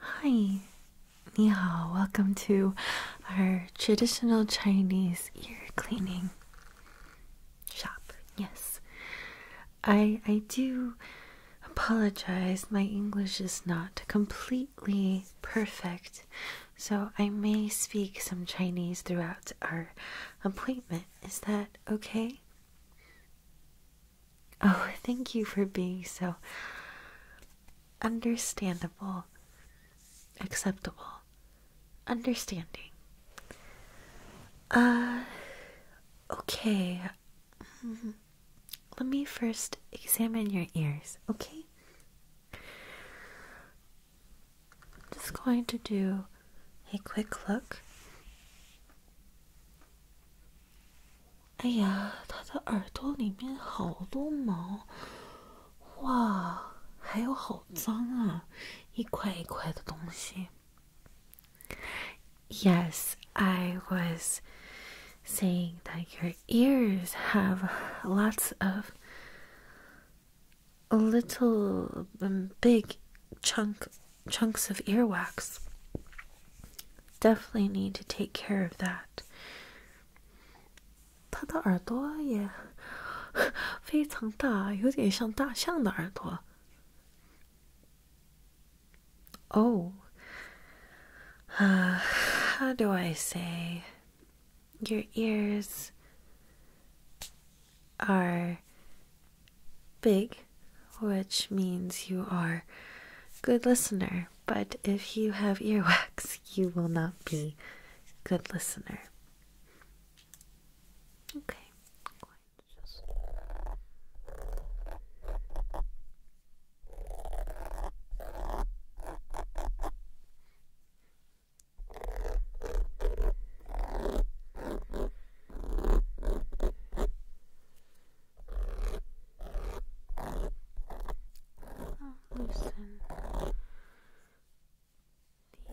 Hi, ni hao. Welcome to our traditional Chinese ear cleaning shop. Yes, I I do apologize. My English is not completely perfect, so I may speak some Chinese throughout our appointment. Is that okay? Oh, thank you for being so understandable, acceptable, understanding. Uh, okay. Mm-hmm. Let me first examine your ears, okay? just going to do a quick look. 哎呀，他的耳朵里面好多毛，哇，还有好脏啊，一块一块的东西。Yes, I was saying that your ears have lots of little um, big chunk chunks of earwax. Definitely need to take care of that. 它的耳朵也非常大，有点像大象的耳朵。Oh, uh, how do I say? Your ears are big, which means you are good listener. But if you have earwax, you will not be good listener. Okay just oh, listen. The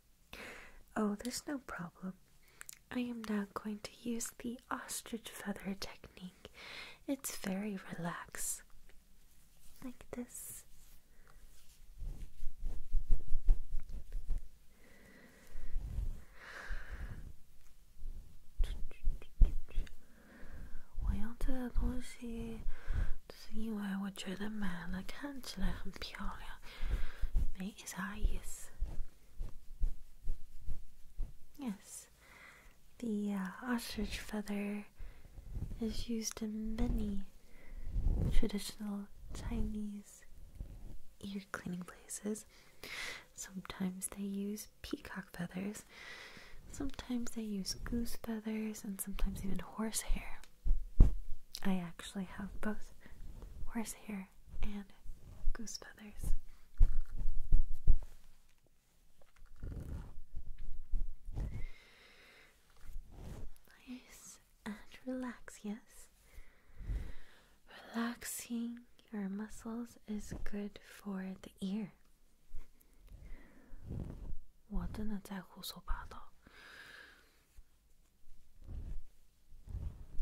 Oh, there's no problem. I am now going to use the ostrich feather technique. It's very relax, Like this. I I want it this. 我用这个东西，是因为我觉得买了看起来很漂亮，没啥意思。Yes, the uh, ostrich feather is used in many traditional Chinese ear cleaning places. Sometimes they use peacock feathers, sometimes they use goose feathers, and sometimes even horse hair. I actually have both horse hair and goose feathers. Nice and relax, yes. Relaxing your muscles is good for the ear. 我真的在胡说八道。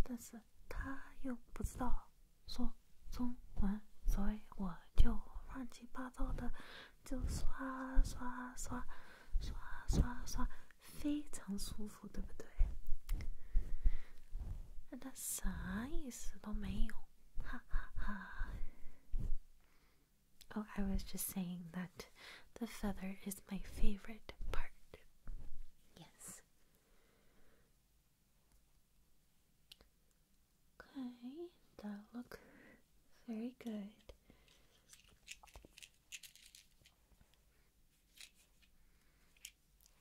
但是他又不知道说中文，所以我就乱七八糟的就刷刷刷刷刷刷，非常舒服，对不对？那啥意思都没有，哈哈哈。Oh, I was just saying that the feather is my favorite part. Yes. Okay, that look very good.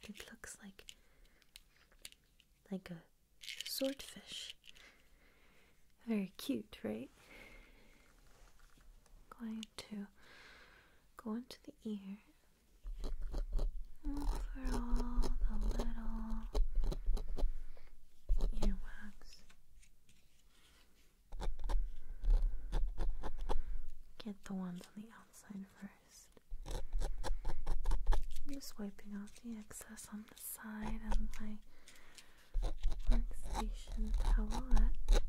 It looks like like a swordfish. Very cute, right? going to go into the ear Look for all the little earwax. Get the ones on the outside first. I'm just wiping off the excess on the side of my workstation towelette.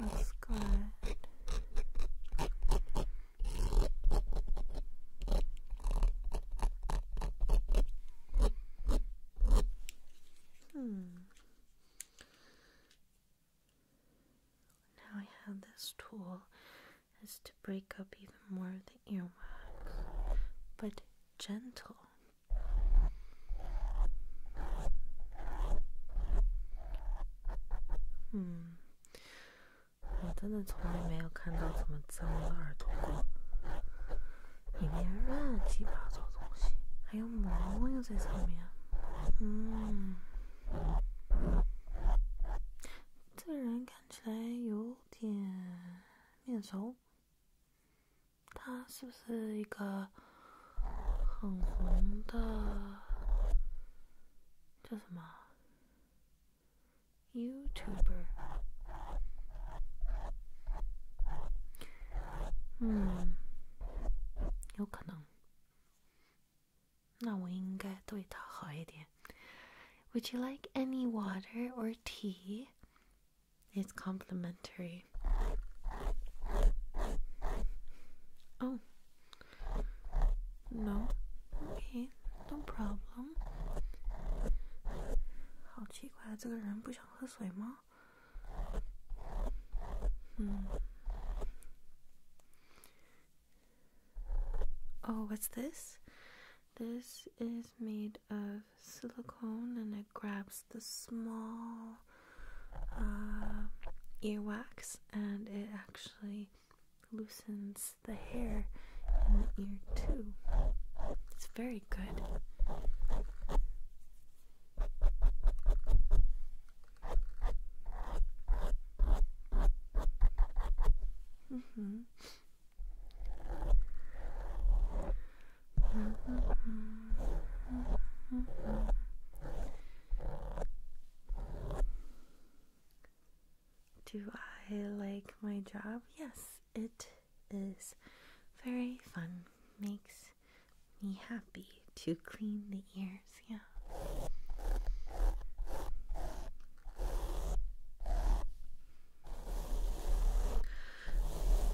That's good. Hmm. Now I have this tool is to break up even more of the earwax, but gentle. Hmm，我真的从来没有看到这么脏的耳朵过。里面乱七八糟东西，还有毛又在上面。嗯，这个人看起来有点面熟，他是不是一个很红的叫什么 YouTuber？嗯，有可能。那我应该对他好一点。Would you like any water or tea? It's complimentary. Oh, no. Okay, no problem. 好奇怪，这个人不想喝水吗？Hmm. Oh, what's this? This is made of silicone and it grabs the small uh, earwax and it actually loosens the hair in the ear, too. It's very good. Mm-hmm. Mm-hmm. Mm-hmm. mm-hmm. Do I like my job? Yes, it is very fun. Makes me happy to clean the ears, yeah.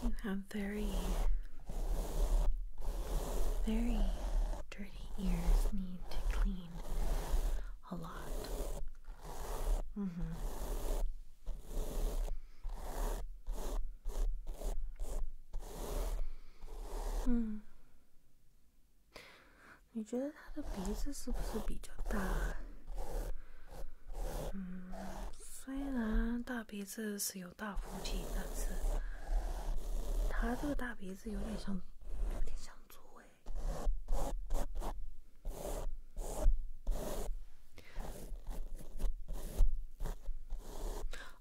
You have very, very dirty ears, need to clean a lot. Mm hmm. 嗯，你觉得他的鼻子是不是比较大？嗯，虽然大鼻子是有大福气，但是他这个大鼻子有点像，有点像猪哎。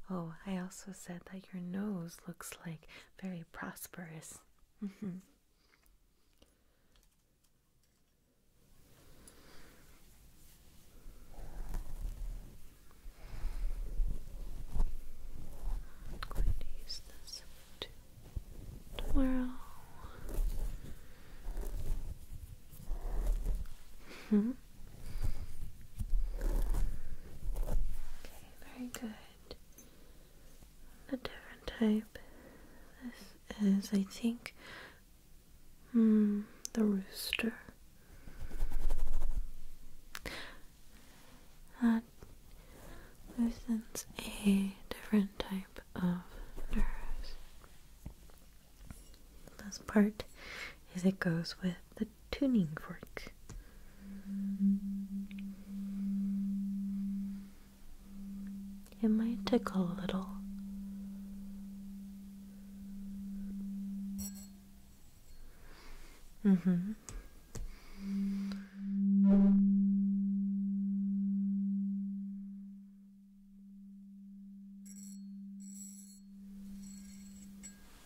Oh, I also said that your nose looks like very prosperous. I'm going to use this to tomorrow. Hmm? Okay, very good. A different type. This is, I think, hmm, the rooster. That loosens a different type of nerves. The best part is it goes with the tuning fork. It might tickle a little. Mm-hmm.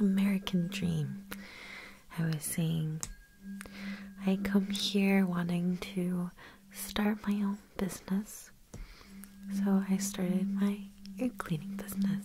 American dream. I was saying, I come here wanting to start my own business, so I started my ear cleaning business.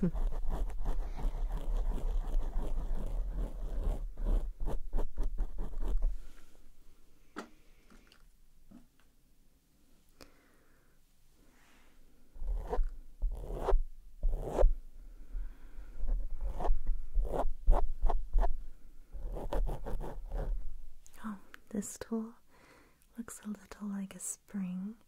Hmm. oh, this tool looks a little like a spring.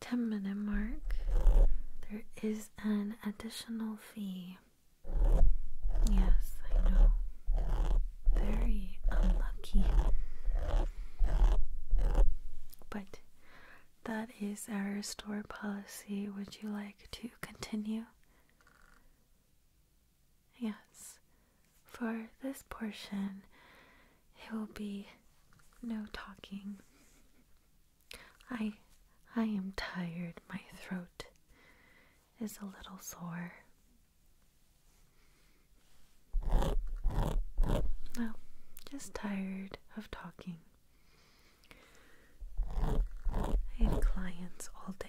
10 minute mark, there is an additional fee. Yes, I know. Very unlucky. But that is our store policy. Would you like to continue? Yes. For this portion, it will be no talking. I I am tired. My throat is a little sore. No, just tired of talking. I have clients all day.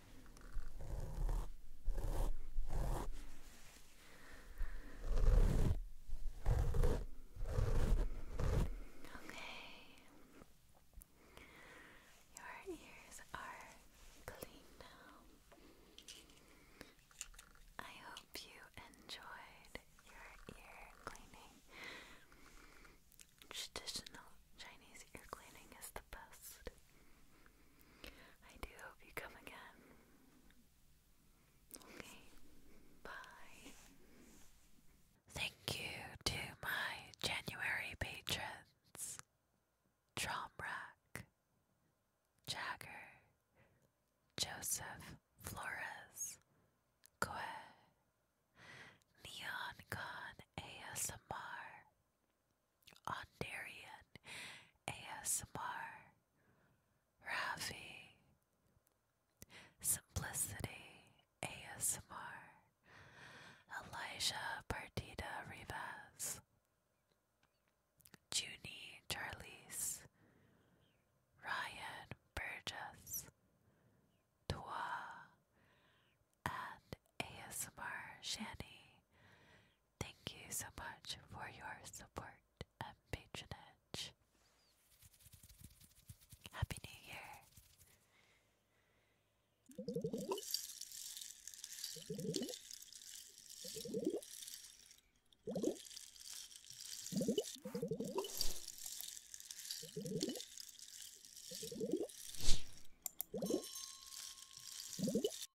Your ears are clean now. I hope you enjoyed your ear cleaning. Traditional Chinese ear cleaning is the best. I do hope you come again. Okay, bye. Thank you to my January patrons Tromrack, Jagger, Joseph Flores, Kwe, Neon ASMR, Ondarian ASMR, Ravi, Simplicity ASMR, Elijah Partida Rivas, Junie Charlize, Ryan Burgess, Tua, and ASMR Shani Thank you so much for your support and patronage. Happy New Year!